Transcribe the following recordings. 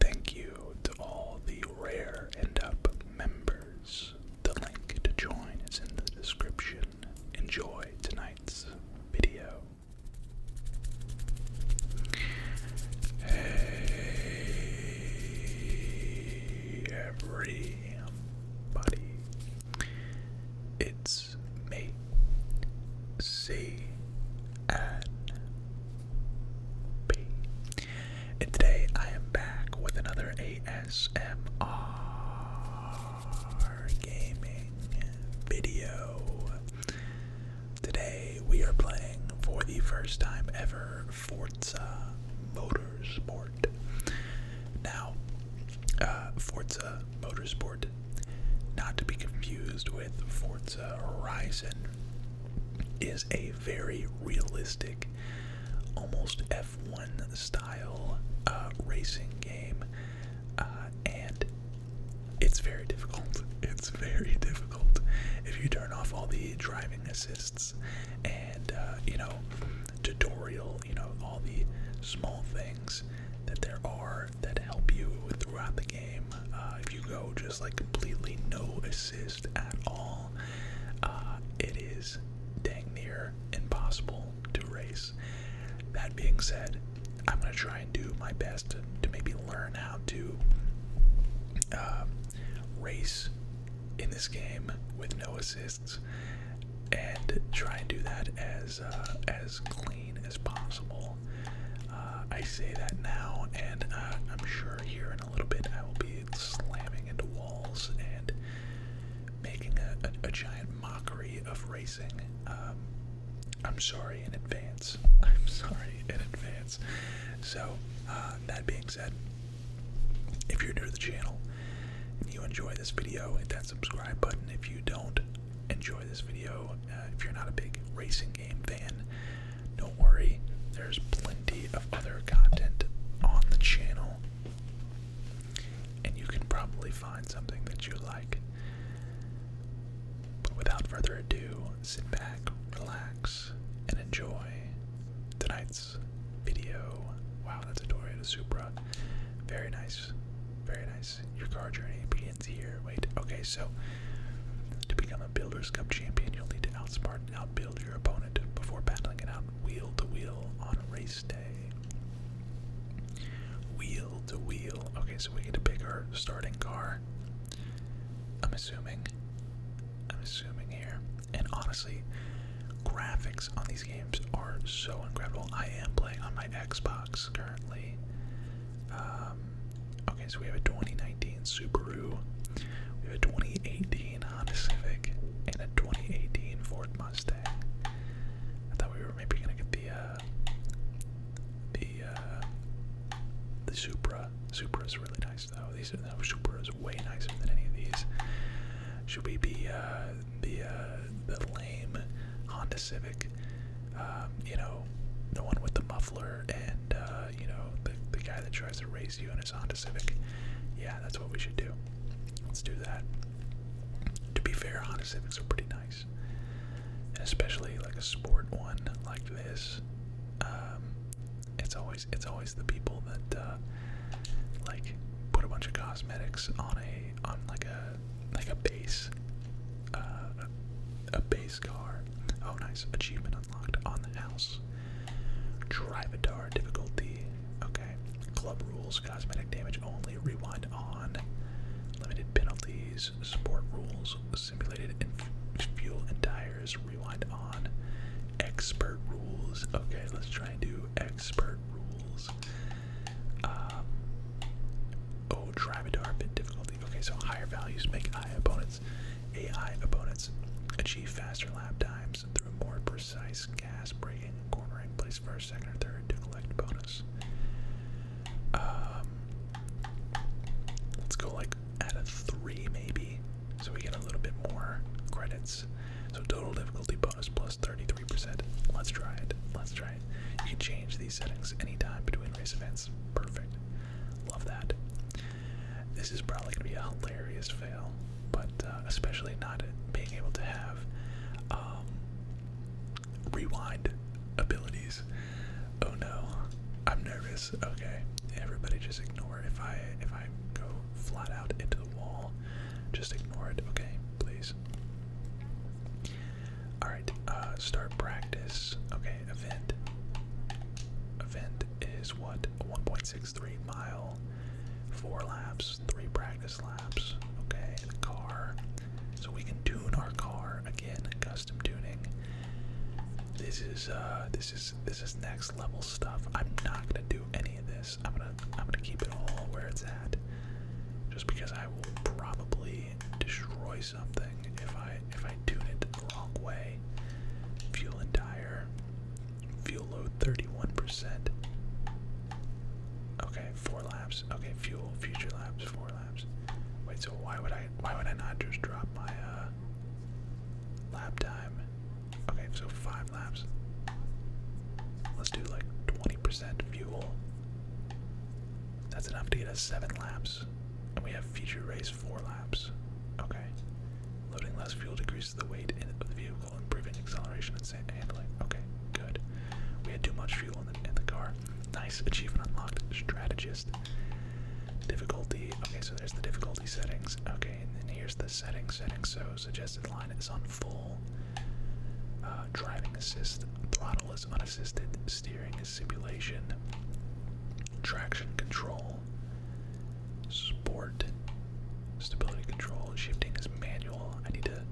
Thank you to all the Rare end Up members. The link to join is in the description. Enjoy tonight's video. Hey, everybody. It's me, C. N. And today I am back with another ASMR gaming video. Today we are playing for the first time ever Forza Motorsport. Now, uh, Forza Motorsport, not to be confused with Forza Horizon is a very realistic, almost F1 style uh, racing game, uh, and it's very difficult. It's very difficult if you turn off all the driving assists and uh, you know tutorial, you know all the small things that there are that help you throughout the game uh, if you go just like completely no assist at all, uh, it is dang near impossible to race. That being said, I'm gonna try and do my best to, maybe learn how to um, race in this game with no assists, and try and do that as uh, as clean as possible. Uh, I say that now, and uh, I'm sure here in a little bit I will be slamming into walls and making a, giant mockery of racing. Um, I'm sorry in advance. I'm sorry in advance. So, uh, that being said, if you're new to the channel and you enjoy this video, hit that subscribe button. If you don't enjoy this video, uh, if you're not a big racing game fan, don't worry. There's plenty of other content on the channel, and you can probably find something that you like. But without further ado, sit back, relax, and enjoy tonight's video. Wow, that's a Toyota Supra. Very nice. Very nice. Your car journey began here. Wait, okay, so to become a Builders Cup champion, you'll need to outsmart and outbuild your opponent before battling it out wheel to wheel on race day. Wheel to wheel. Okay, so we get to pick our starting car. I'm assuming. I'm assuming here. And honestly, graphics on these games are so incredible. I am playing on my Xbox currently. Um, okay, so we have a 2019 Subaru, we have a 2018 Honda Civic, and a 2018 Ford Mustang. I thought we were maybe gonna get the uh, the uh, the Supra. Supra is really nice though. These are Supra is way nicer than any of these. Should we be uh, the uh, the lame Honda Civic? um, you know, the one with the muffler and, uh, you know, the, the guy that tries to race you in his Honda Civic. Yeah, that's what we should do. Let's do that. To be fair, Honda Civics are pretty nice. And especially like a sport one like this. Um, it's always it's always the people that uh, like put a bunch of cosmetics on a on like a like a base uh, a, a base car Oh, nice. Achievement unlocked on the house. Drive Drivatar difficulty. Okay. Club rules, cosmetic damage only, rewind on. Limited penalties, sport rules, simulated and fuel and tires, rewind on. Expert rules. Okay, let's try and do expert rules. Uh, Oh, Drivadar bit difficulty. Okay, so higher values make AI opponents, AI opponents achieve faster lap times through more precise gas braking, cornering, place first, second, or third to collect bonus. Um, let's go like at a three maybe, so we get a little bit more credits. So total difficulty bonus plus 33%. Let's try it. Let's try it. You can change these settings anytime between race events perfect. Love that. This is probably going to be a hilarious fail, but uh, especially not being able to have um, rewind abilities. Oh no, I'm nervous. Okay, everybody, just ignore if I if I go flat out into the wall. Just ignore it. Okay, please. Alright, uh, start practice. Okay, event. Event is what? 1.63 mile, 4 laps, 3 practice laps. Okay, the car. So we can tune our car again, custom tuning. This is uh this is this is next level stuff. I'm not gonna do any of this. I'm gonna I'm gonna keep it all where it's at. Just because I will probably destroy something if I if I tune it the wrong way. Fuel and tire. Fuel load 31%. Okay, four laps. Okay, fuel, future laps, four laps. Wait, so why would I why would I not just drop my uh time? Okay, so five laps. Let's do like 20% fuel. That's enough to get us seven laps we have feature race four laps. Okay. Loading less fuel decreases the weight of the vehicle, improving acceleration and handling. Okay, good. We had too much fuel in the, car. Nice achievement unlocked. Strategist. Difficulty. Okay, so there's the difficulty settings. Okay, and then here's the setting Settings. So suggested line is on full. Uh, driving assist. Throttle is on assisted steering simulation, traction control, sport, stability control, shifting is manual. I need to.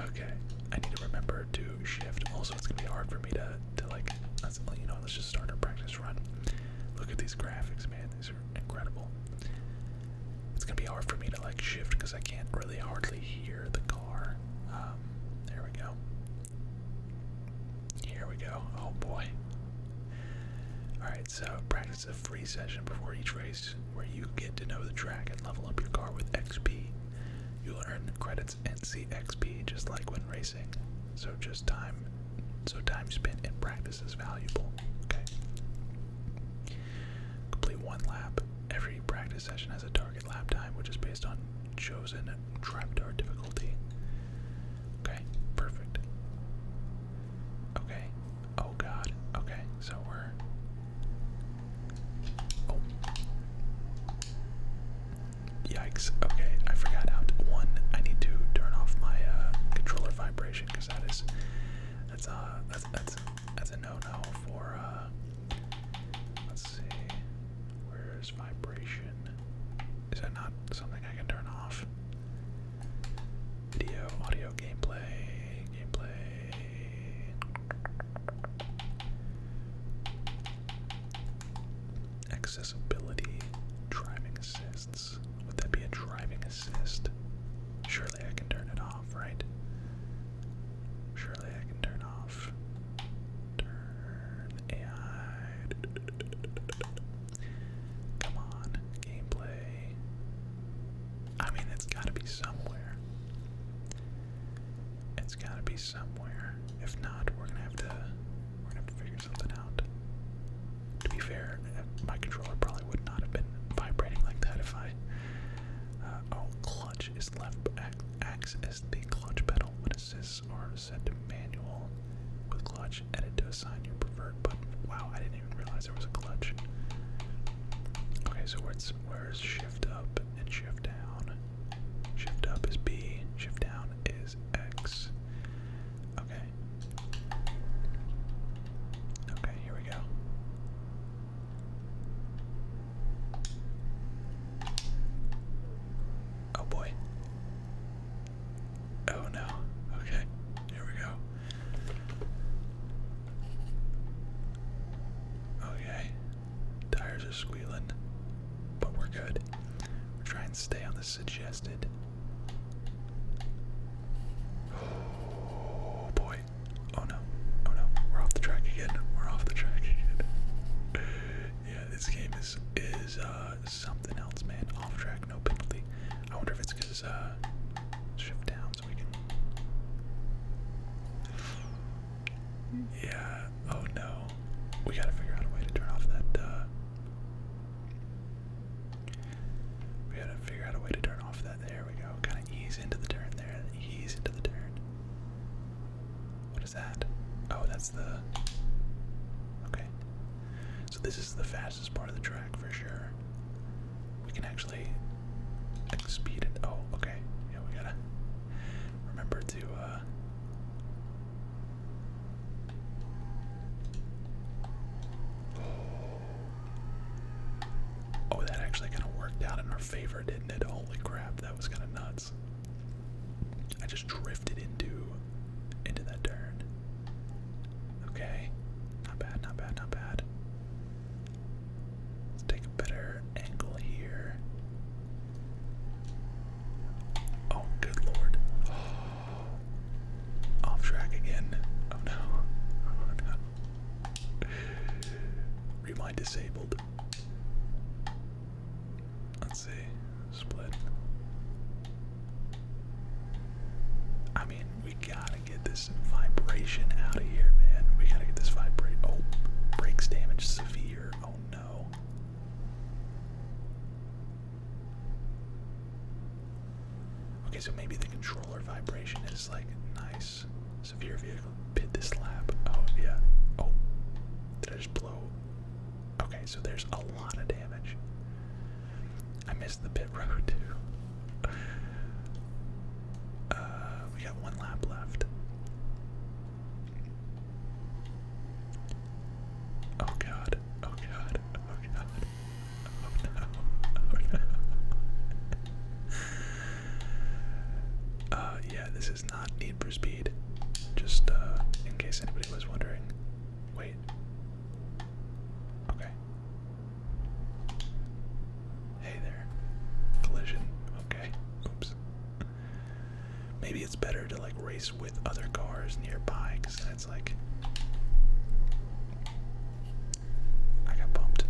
okay, I need to remember to shift. Also, it's gonna be hard for me to to like. Let's, you know, let's just start a practice run. Look at these graphics, man. These are incredible. It's gonna be hard for me to like shift because I can't really hardly hear the. Um, there we go. Here we go. Oh boy. Alright, so practice a free session before each race where you get to know the track and level up your car with XP. You'll earn credits and see XP just like when racing. So just time so time spent in practice is valuable. Okay. Complete one lap. Every practice session has a target lap time which is based on chosen trapdoor difficulty. Okay, perfect. Okay. Oh god. Okay, so we're Oh. Yikes. Okay, I forgot out one. I need to turn off my uh, controller vibration because that is that's uh that's that's a no no for uh, Let's see. Where's vibration? Is that not something I can turn off? Video, audio, gameplay, gameplay. Accessibility, driving assists. Would that be a driving assist? Surely I can turn it off, right? Surely I can turn off. Turn AI. Come on, gameplay. I mean, it's gotta be somewhere. It's gotta be somewhere. If not, we're gonna have to we're gonna have to figure something out. To be fair, my controller probably would not have been vibrating like that if I. Uh, oh, clutch is left. back acts as the clutch pedal when assists are set to manual with clutch edit to assign your preferred button. Wow, I didn't even realize there was a clutch. Okay, so where's where's shift up and shift down? Shift up is B, shift down is X. Okay. Okay, here we go. Oh boy. Oh no. Okay. Here we go. Okay. Tires are squealing, but we're good. We're trying to stay on the suggested. Oh boy. Oh no. Oh no. We're off the track again. We're off the track again. yeah, this game is is uh, something else, man. Off track, no penalty. I wonder if it's because uh, shift down so we can Yeah. Oh no. We gotta figure out a way to turn off that uh, we gotta figure out a way to turn off that. There we go. Kind of ease into the turn there. Ease into the turn. What is that? Oh, that's the. Okay. So this is the fastest part of the track for sure. We can actually speed it. Oh, okay. Yeah, we gotta remember to. Uh, oh, that actually kind of worked out in our favor. Holy crap, that was kind of nuts. I just drifted into into that turn. Okay, not bad, not bad, not bad. Let's take a better angle here. Oh, good lord. Off track again. Oh no. Remind disabled. Let's see. Split. I mean, we gotta get this vibration out of here, man. We gotta get this vibrate. Oh, brakes damage severe. Oh no. Okay, so maybe the controller vibration is like nice. Severe vehicle. Pit this lap. Oh, yeah. Oh. Did I just blow? Okay, so there's a lot of damage. I missed the pit road, too. Uh, we got one lap left. Oh god, oh god, oh god. Oh no, oh no. Uh, yeah, this is not Need for Speed. Just uh, in case anybody was wondering. Wait. Okay. Hey there. Collision. Okay. Oops. Maybe it's better to like race with other cars nearby because then like. I got bumped.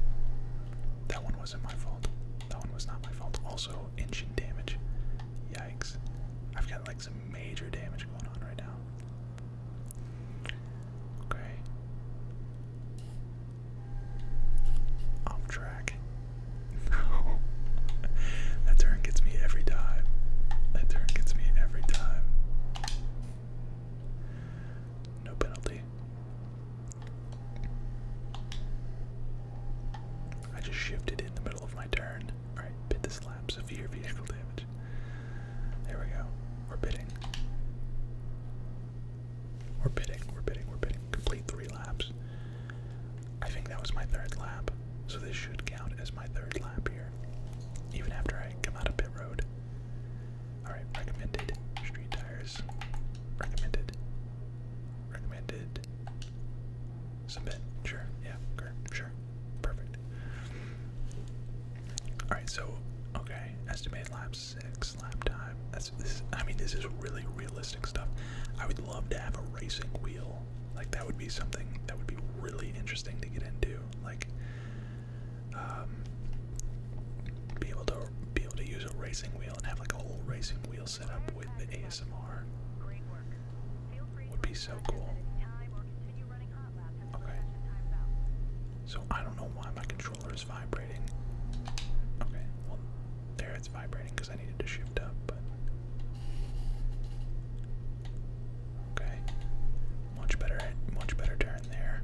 That one one wasn't my fault. That one was not my fault. Also, engine damage. Yikes. I've got like some major damage going on right now. Okay. Off track. No. that turn gets me every time. That turn gets me every time. No penalty. I just shifted in the middle of my turn. Alright, bid the slab, severe vehicle damage. There we go. We're bidding. We're bidding, we're bidding, we're bidding. Complete three laps. I think that was my third lap, so this should count as my third lap here. Even after I come out of pit road. Alright, recommended. Street tires. Recommended. Recommended. Submit. Sure. Yeah. Sure. Perfect. All right. So, okay. Estimated lap six lap time. That's this. I mean, this is really realistic stuff. I would love to have a racing wheel. Like that would be something that would be really interesting to get into. Like, um, be able to be able to use a racing wheel and have like a whole racing wheel setup with the ASMR would be so cool. Okay. So I don't know why my controller is vibrating. Okay, well there it's vibrating because I needed to shift up, but Okay. Much better much better turn there.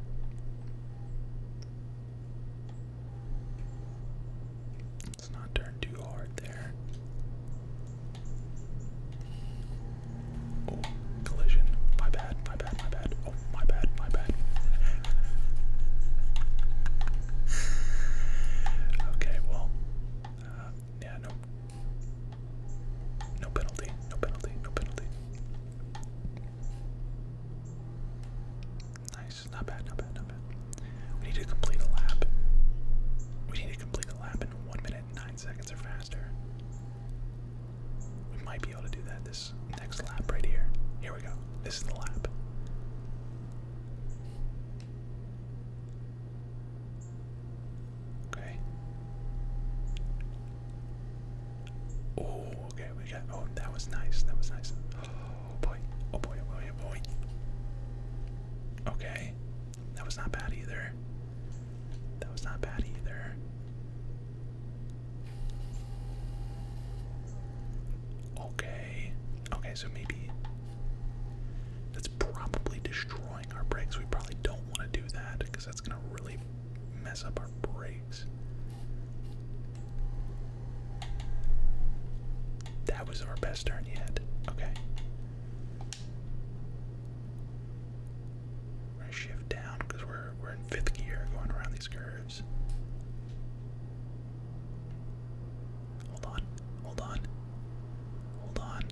Let's not turn too hard there. Oh, collision. My bad, my bad, my bad. Oh, my bad, my bad. okay, well, uh, yeah, no, no penalty, no penalty, no penalty. I not bad, not bad, not bad. We need to complete a lap. We need to complete a lap in one minute and nine seconds or faster. We might be able to do that this next lap right here. Here we go. This is the lap. Okay. Oh, okay, we got. Oh, that was nice. That was nice. Oh, oh boy. Oh boy. Oh boy. Okay, that was not bad either. That was not bad either. Okay. Okay, so maybe that's probably destroying our brakes. We probably don't want to do that because that's gonna really mess up our water That was our best turn yet. Okay. shift down because we're we're in fifth gear going around these curves. Hold on, hold on, hold on.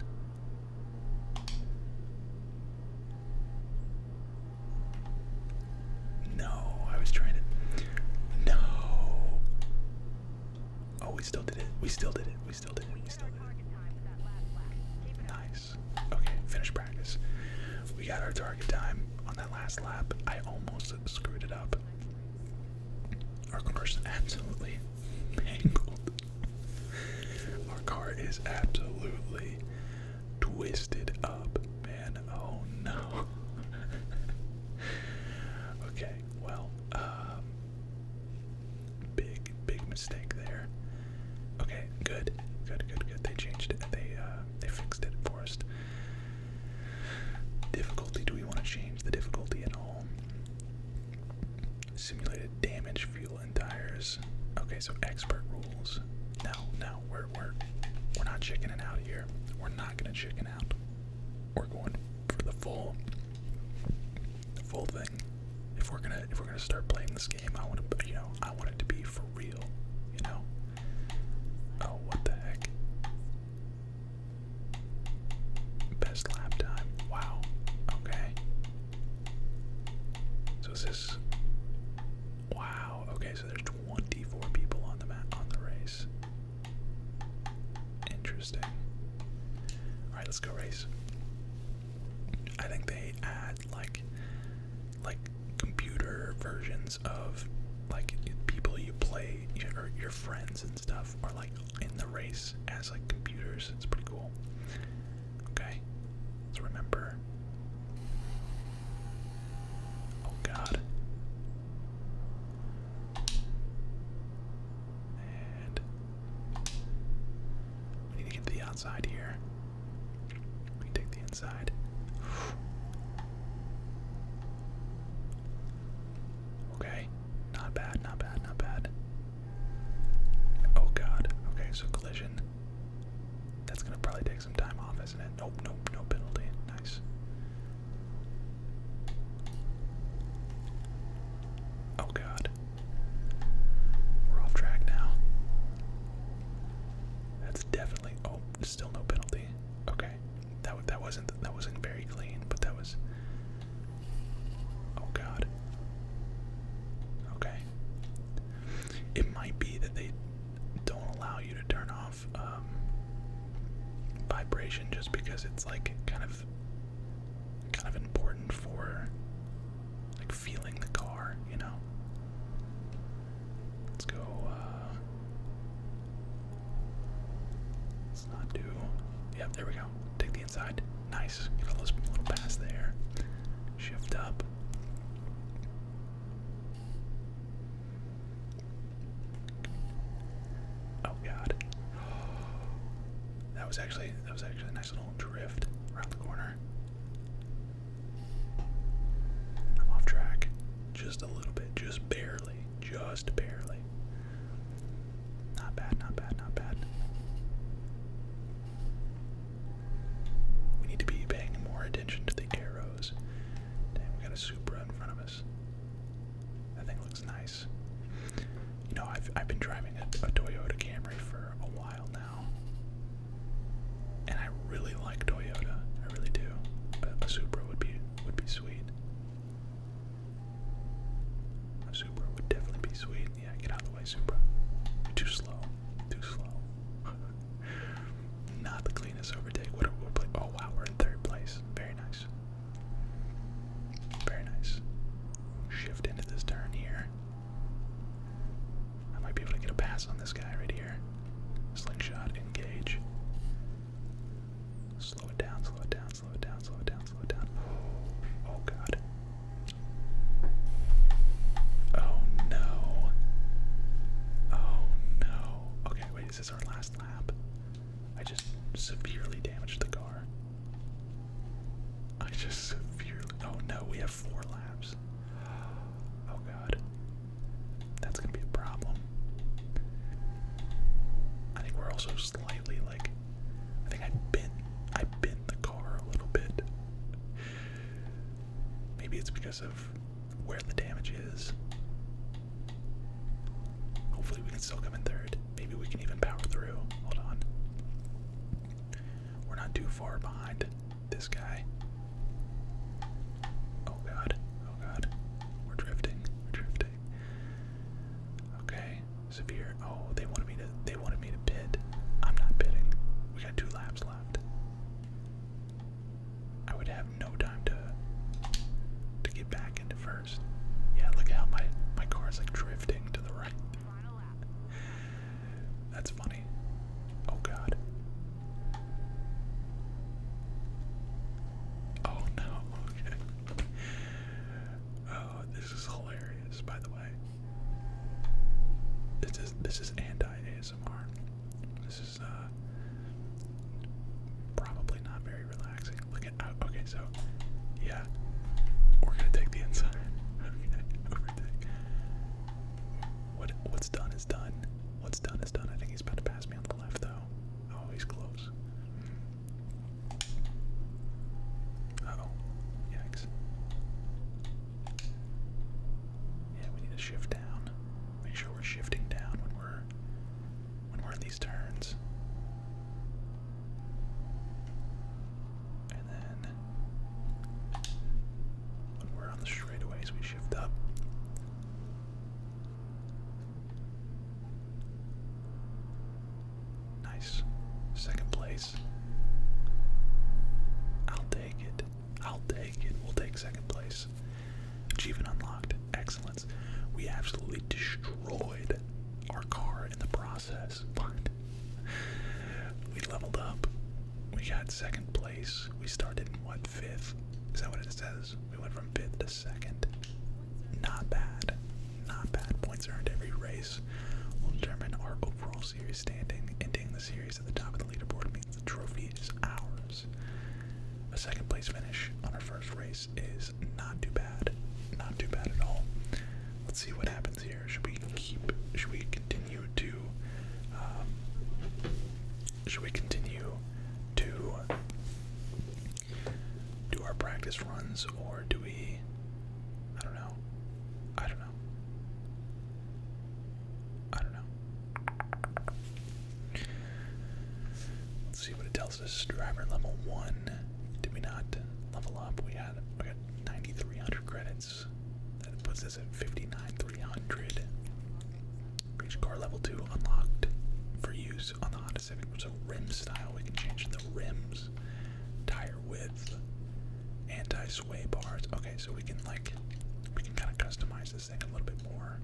No, I was trying to. No. Oh, we still did it. We still did it. We still did it. We still did it. Nice. Okay, finish practice. We got our target time on that last lap. I almost screwed it up. Our car's absolutely mangled. Our car is absolutely twisted up, man. Oh no. okay, well, um, big, big mistake there. Okay, good, good, good, good. They changed it. They, uh, they fixed it for Difficulty? Do we want to change the difficulty at all? Simulated damage, fuel, and tires. Okay, so expert rules. No, no, we're we're we're not chickening out here. We're not gonna chicken out. We're going for the full the full thing. If we're gonna if we're gonna start playing this game, I wanna you know, I want it to be for real, you know? Oh what the heck? Best lap time. Wow. Okay. So is this Wow, okay, so there's 24 people on the mat on the race. Interesting. All right, let's go race. I think they add like like computer versions of like people you play or your friends and stuff are like in the race as like computers. It's pretty cool. Okay. let remember Oh god. we need to get to the outside here. We take the inside. Okay. Not bad, not bad, not bad. Oh god. Okay, so collision. That's gonna probably some time off, isn't it? Nope, nope, no penalty. Nice. Oh god. We're off track now. That's definitely oh, still no penalty. Okay. That that wasn't that wasn't very clean, but that was Oh god. Okay. It might be that they don't allow you to turn off um, vibration just because it's like kind of kind of important for like feeling the car, you know. Let's go uh let's not do Yep, there we go. Take the inside. Nice. Get a little pass there. Shift up. Oh god. That was actually that was actually a nice little drift around the corner. I'm off track. Just a little bit. Just barely. Just barely. Not bad, not bad, not bad. We need to be paying more attention to the arrows. Damn, we got a Supra in front of us. That thing looks nice. You know, I've, I've been driving a, Toyota Camry for a while now. And I really like Toyota. I really do. But a Supra would be would be sweet. A Supra would definitely be sweet. Yeah, get out of the way, Supra. You're too slow. Too slow. Not the cleanest overtake. What are we play? Oh wow, we're in third place. Very nice. Very nice. Shift into this turn here. I might be able to get a pass on this guy right here. Slingshot, engage. Slow it down, slow it down, slow it down, slow it down, slow it down. Oh, oh god. Oh no. Oh no. Okay, wait, is our last lap? I just severely damaged the car. I just severely. Oh no, we have four laps. Oh god. That's gonna be a problem. I think we're also slightly like. I think I bent. I bent the car a little bit. Maybe it's because of where the damage is. Hopefully, we can still come in third. Maybe we can even power through. Hold on. We're not too far behind this guy. Oh god. Oh god. We're drifting. We're drifting. Okay. Severe. Oh, they wanted me to they wanted me to bid. I'm not bidding. We got two laps left. I would have no time to to get back into first. Yeah, look how my my car is like drifting to the right. That's funny. Oh god. Oh no. Okay. Oh, this is hilarious, by the way. This is this is anti ASMR. Uh, probably not very relaxing. Look at oh, okay, so yeah, we're gonna take the inside. What what's done is done. What's done is done. I think he's about to pass me on the left though. Oh, he's close. oh, yikes. Yeah, we need to shift down. Make sure we're shifting down when we're when we're in these turns. And then when we're on the straightaways, we shift up. Nice. Second place. I'll take it. I'll take it. We'll take second place. Achievement unlocked. Excellence. We absolutely destroyed our car in the process, but we leveled up. We got second place. We started in what, fifth? Is that what it says? We went from fifth to second. Not bad. Not bad. Points earned every race will determine our overall series standing, ending the series at the top of the leaderboard the trophy is ours. A second place finish on our first race is not too bad. Not too bad at all. Let's see what happens here. Should we keep should we continue to um, should we continue to do our practice runs or do we I don't know. I don't know. I don't know. Let's see what it tells us. Driver level one. Did we not level up? We had we got 9,300 credits. That puts us at fifty-nine three hundred. Reach car level two unlocked for use on the Honda Civic. So rim style. We can change the rims, tire width, anti-sway bars. Okay, so we can like we can kind of customize this thing a little bit more.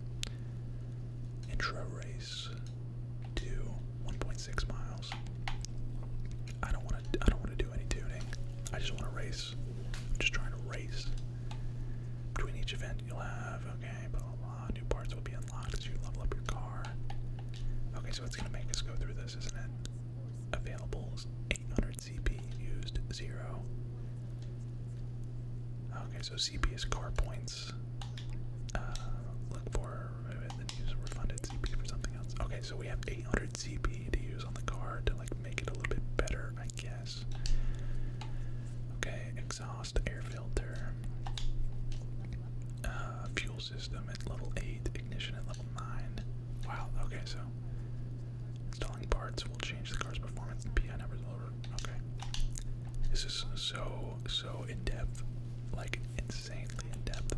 Intro race to 1.6 miles. I don't want to. I don't want to do any tuning. I just want to race. I'm just trying to race. Between each event, you'll have okay, But a lot of New parts will be unlocked as you level up your car. Okay, so it's gonna make us go through this, isn't it? Available is 800 CP, used 0. Okay, so CP is car points. Uh, look for, then use refunded CP for something else. Okay, so we have 800 CP to use on the car to like make it a little bit better, I guess. Okay, exhaust, air filter, uh, fuel system at level 8, ignition at level 9. Wow, okay, so Installing parts will change the car's performance. PI numbers Okay. This is so, so in depth. Like, insanely in depth.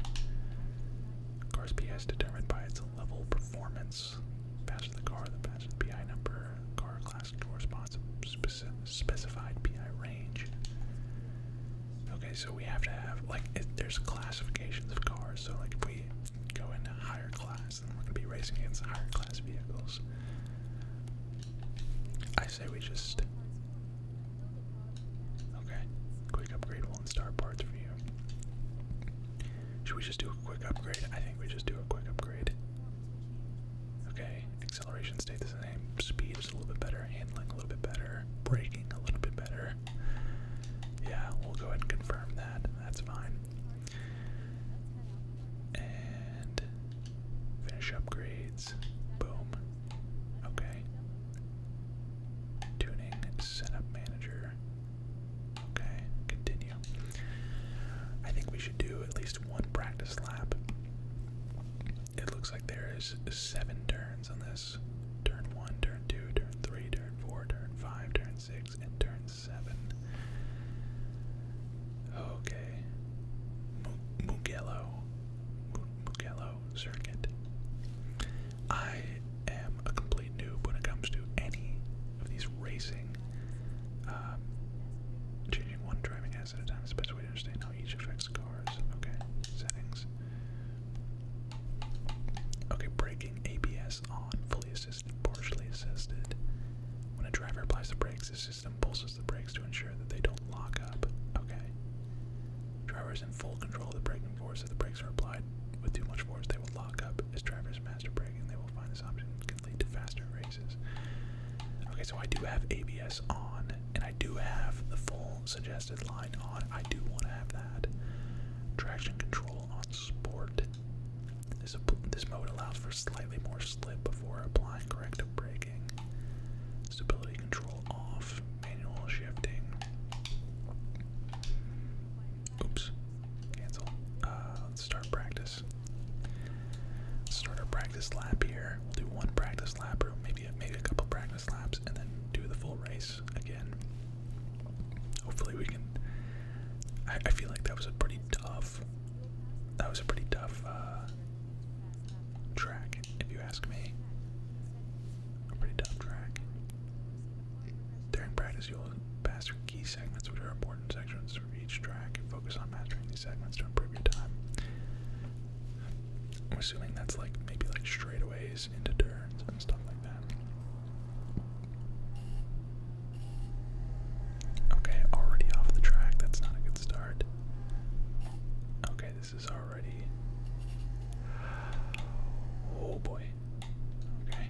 Car's PI is determined by its level performance. The faster the car, the faster the PI number. Car class corresponds to speci specified PI range. Okay, so we have to have, like, there's classifications of cars. So, like, we go into higher class, and we're going to be racing against higher class vehicles. I say we just. Okay, quick upgrade one star parts for you. Should we just do a quick upgrade? I think we just do a quick upgrade. Okay, acceleration stays the same. Speed is a little bit better, handling a little bit better, braking a little bit better. Yeah, we'll go ahead and confirm that. That's fine. And finish upgrades. Boom. Okay. Tuning setup manager. Okay, continue. I think we should do at least one practice lap. It looks like there is seven turns on this turn one, turn two, turn three, turn four, turn five, turn six, and turn seven. Okay. Mugello. Mugello circuit. I am a complete noob when it comes to any of these racing. Um, changing one driving asset at a time is the best way to understand how each affects cars. Okay, settings. Okay, braking ABS on, fully assist partially assisted. When a driver applies the brakes, the system pulses the brakes to ensure that they don't lock up. Okay. Driver is in full control of the braking force. If the brakes are applied with too much force, they will lock up. As drivers master braking, they will find this option can lead to faster races. Okay, so I do have ABS on, and I do have the full suggested line on. I do want to have that. Traction control on sport. This, mode allows for slightly more slip before applying corrective braking. Stability control off, manual shifting. Oops, cancel. Uh, let's start practice. start our practice lap here. We'll do one practice lap or maybe, maybe a couple practice laps and then do the full race again. Hopefully we can. I, feel like that was a pretty tough. That was a pretty tough uh, track, if you ask me. A pretty tough track. During practice, you'll pass key segments, which are important sections for each track. Focus on mastering these segments to improve your time. I'm assuming that's like maybe like straightaways into turns and stuff like that. Okay, already off the track. That's not a good start. Okay, this is already. Oh boy. Okay.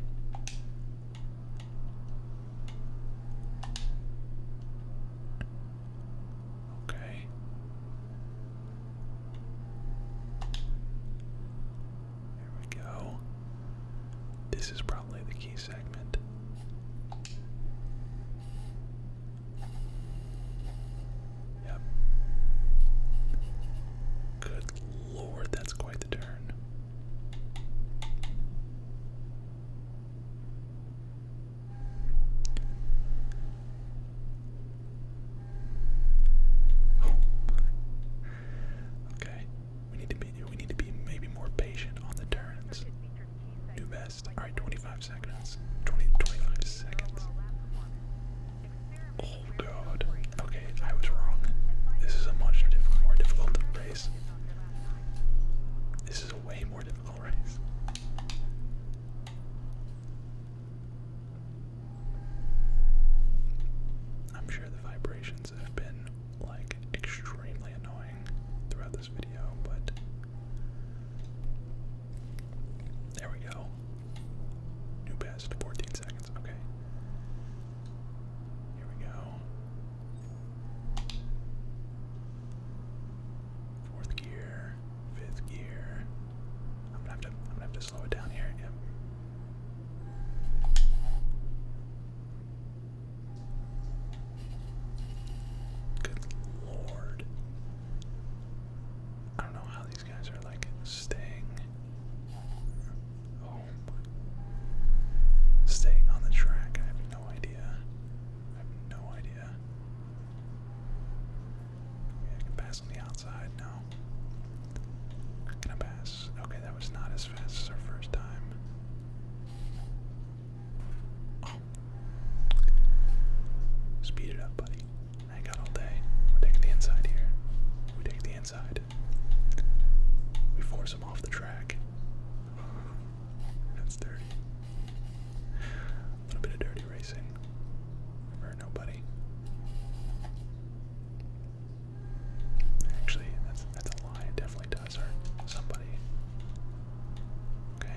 Okay. There we go. This is probably the key segment. Yep. Good lord, that's quite the turn. Okay. We need to be we need to be maybe more patient on the turns. Do best. Alright, 25 seconds. 20 seconds. Oh god. Okay, I was wrong. This is a much more difficult race. This is a way more difficult race. I'm sure the vibrations have been like extremely annoying throughout this video, but there we go. New best, 14 seconds, okay. Here we go. Fourth gear, fifth gear. I'm gonna have to I'm gonna have to slow it down here. Yep. Good lord. I don't know how these guys are like staying home. Staying on the track. I have no idea. I have no idea. I can pass on the outside. No gonna pass. Okay, that was not as fast as our first time. Oh. Speed it up, buddy. I got all day. We're the inside here. We take the inside. We force him off the track. That's dirty. A little bit of dirty racing. For nobody. Actually, that's a lie. It definitely does hurt somebody. Okay,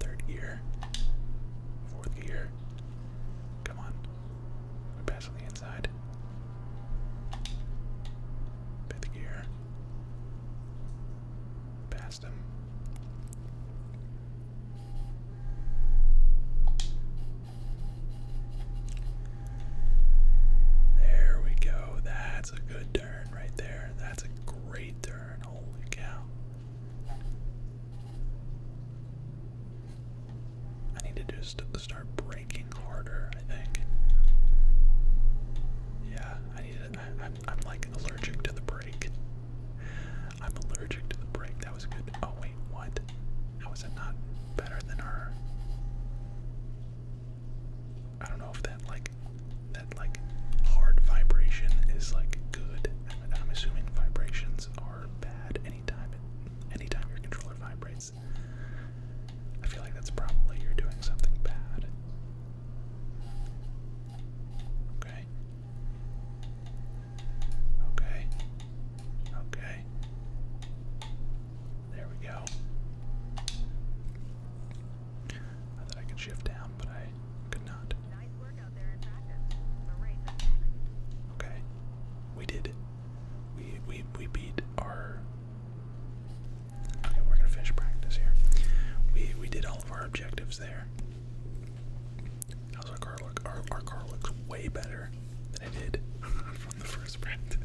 third gear, fourth gear. Come on, we pass on the inside. Fifth gear. Past him. There we go. That's a good turn right there. That's a great turn. Holy cow. I need to just start breaking harder, I think. Yeah, I need I'm like allergic to the brake. I'm allergic to the brake. That was good. Oh, wait, what? How is it not better than her? I don't know if that like that like hard vibration is like good. I'm, assuming vibrations are bad anytime anytime your controller vibrates. I feel like that's probably you're doing something bad. Okay. Okay. Okay. There we go. Not I could shift down, but I could not. Okay. We did. We we we beat our Okay, we're gonna finish practice here. We we did all of our objectives there. How's our car look? Our, our car looks way better I did from the first practice.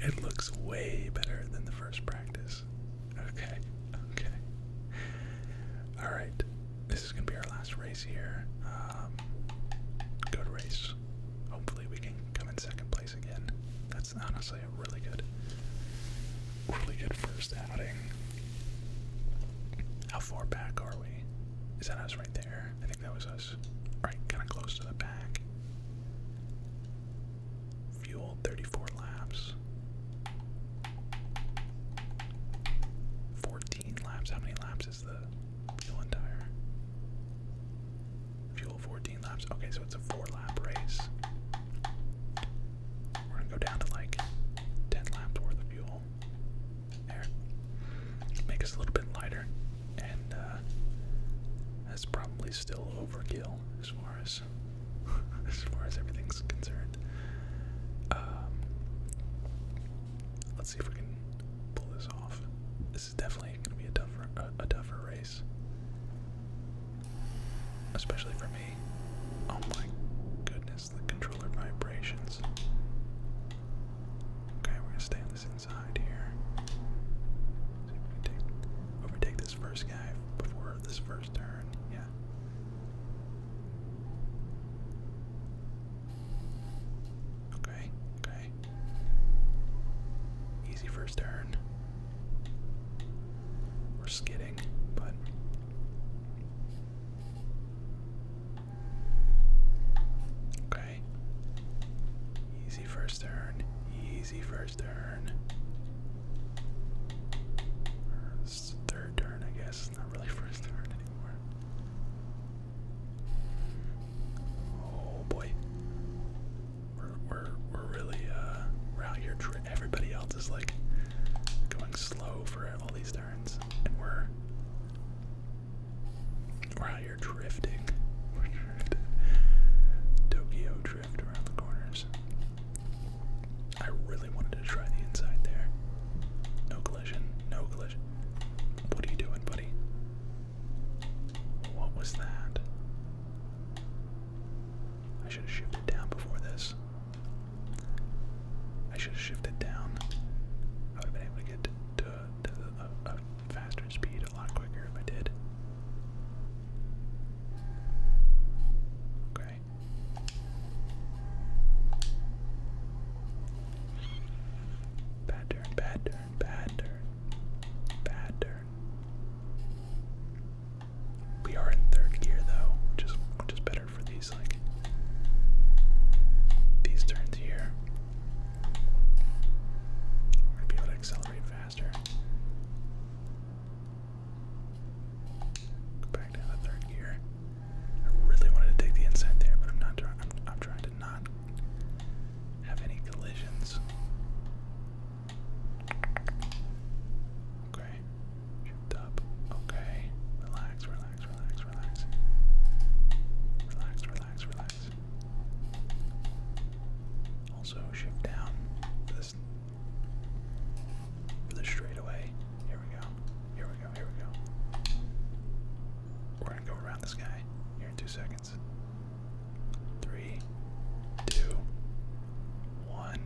it looks way better than the first practice. Okay, okay. Alright, this is going to be our last race here. Um, good race. Hopefully, we can come in second place again. That's honestly a really good, really good first outing. How far back are we? Is that us right there? that was us. Alright, kind of close to the back. Fuel 34 laps. 14 laps. How many laps is the fuel and Fuel 14 laps. Okay, so it's a four lap race. We're gonna go down to like 10 laps worth of fuel. There. Make us a little bit lighter. And uh, that's probably still overkill as far as as far as everything's concerned. Um, let's see if we can pull this off. This is definitely going to be a tougher a tougher race, especially for me. Oh my goodness, the controller vibrations. Okay, we're gonna stay on this inside here. overtake this first guy before this first turn. Yeah. Okay, okay. Easy first turn. We're skidding, but Okay. Easy first turn. Easy first turn. It's third turn, I guess. not really first turn anymore. Oh boy. We're we're we're really uh we're out here. Everybody else is like going slow for all these turns, and we're we're are drifting. Tokyo drift around the corners. I really wanted to try the inside there. No collision. No collision. What are you doing, buddy? What was that? I should have shifted down before this. I should have shifted down. I would have been able to get to, a, faster speed a lot quicker if I did. Okay. Bad turn, bad turn, bad turn, bad turn. We are in third gear though, which is better for these like these turns here. We're be able to accelerate faster. Go back down to third gear. I really wanted to take the inside there, but I'm not trying. I'm trying to not have any collisions. Okay. Shift up. Okay. Relax. Relax relax, relax, relax. Relax, relax, relax. Also shift down for this for the Here we go. Here we go. Here we go. We're gonna go around this guy here in two seconds. Three, two, one.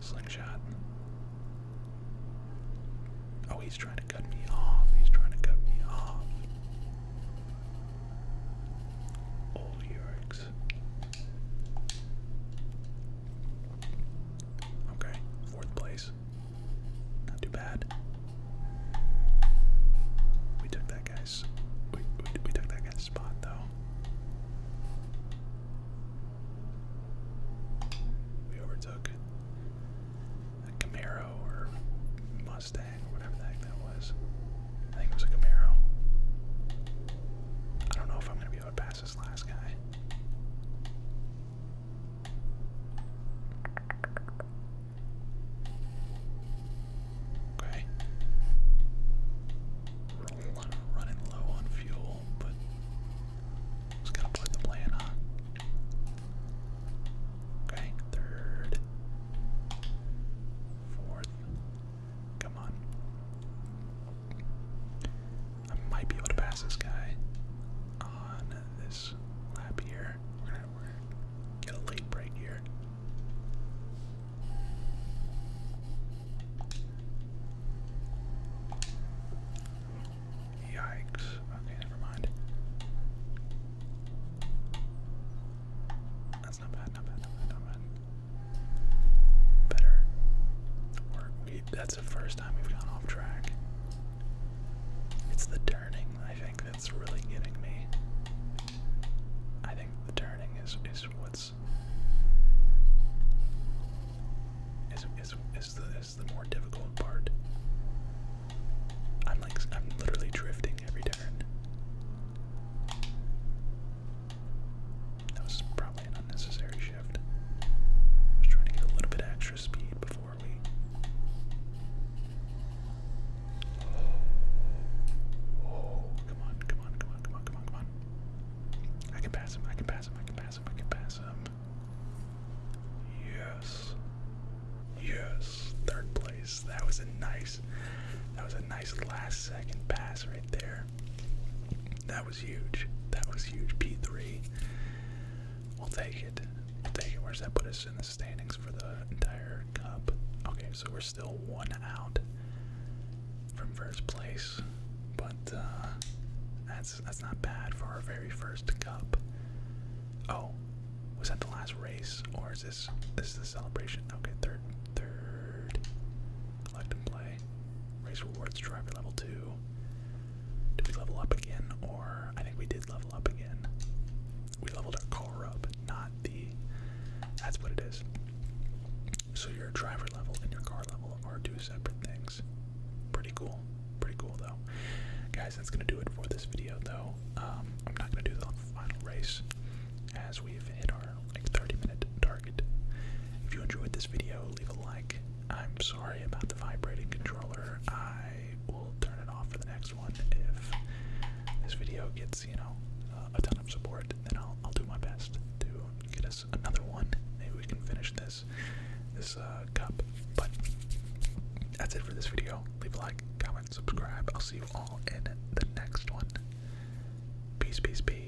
Slingshot. Oh, he's trying to cut me off. He's trying to cut me off. Old Yurks. Okay, fourth place. Not too bad. We took that guy's. We, we, took that guy's spot, though. We overtook a Camaro or Mustang or whatever the heck that was. I think it was a Camaro. I don't know if I'm gonna be able to pass this last guy. Okay. running low on fuel, but just gotta plug the plan on. Okay, third, fourth. Come on. I might be able to pass this guy on this lap here. We're gonna, get a late break here. Yikes. Okay, never mind. That's not bad, not bad, not bad, not bad. Better. that's the first time we've gone off track. It's the turning, I think, that's really getting me. I think the turning is is what's is is is the this is the more difficult part. I'm like, I'm literally drifting every turn. That was probably an unnecessary shift. I was trying to get a little bit extra speed before we. oh, come on, come on, come on, come on, come on, come on. I can pass him, I can pass him, I can pass him, I can pass him. Yes. Yes. Third place. That was a nice that was a nice last second pass right there. That was huge. That was huge. P3. We'll take it. take it. Where's that put us in the standings for the entire cup? Okay, so we're still one out from first place. But that's uh, that's not bad for our very first cup. Oh, was that the last race, or is this this is the celebration? Okay, third, third, collect and play, race rewards, driver level two. Do we level up again, or I think we did level up again? We leveled our car up, not the. That's what it is. So your driver level and your car level are two separate things. Pretty cool. Pretty cool though. Guys, that's gonna do it for this video though. Um, I'm not gonna do the final race as we've hit our like 30 minute target. If you enjoyed this video, leave a like. I'm sorry about the vibrating controller. I will turn it off for the next one if this video gets, you know, uh, a ton of support. Then I'll I'll do my best to get us another one. Maybe we can finish this this uh, cup. But that's it for this video. Leave a like, comment, subscribe. I'll see you all in the next one. Peace, peace, peace.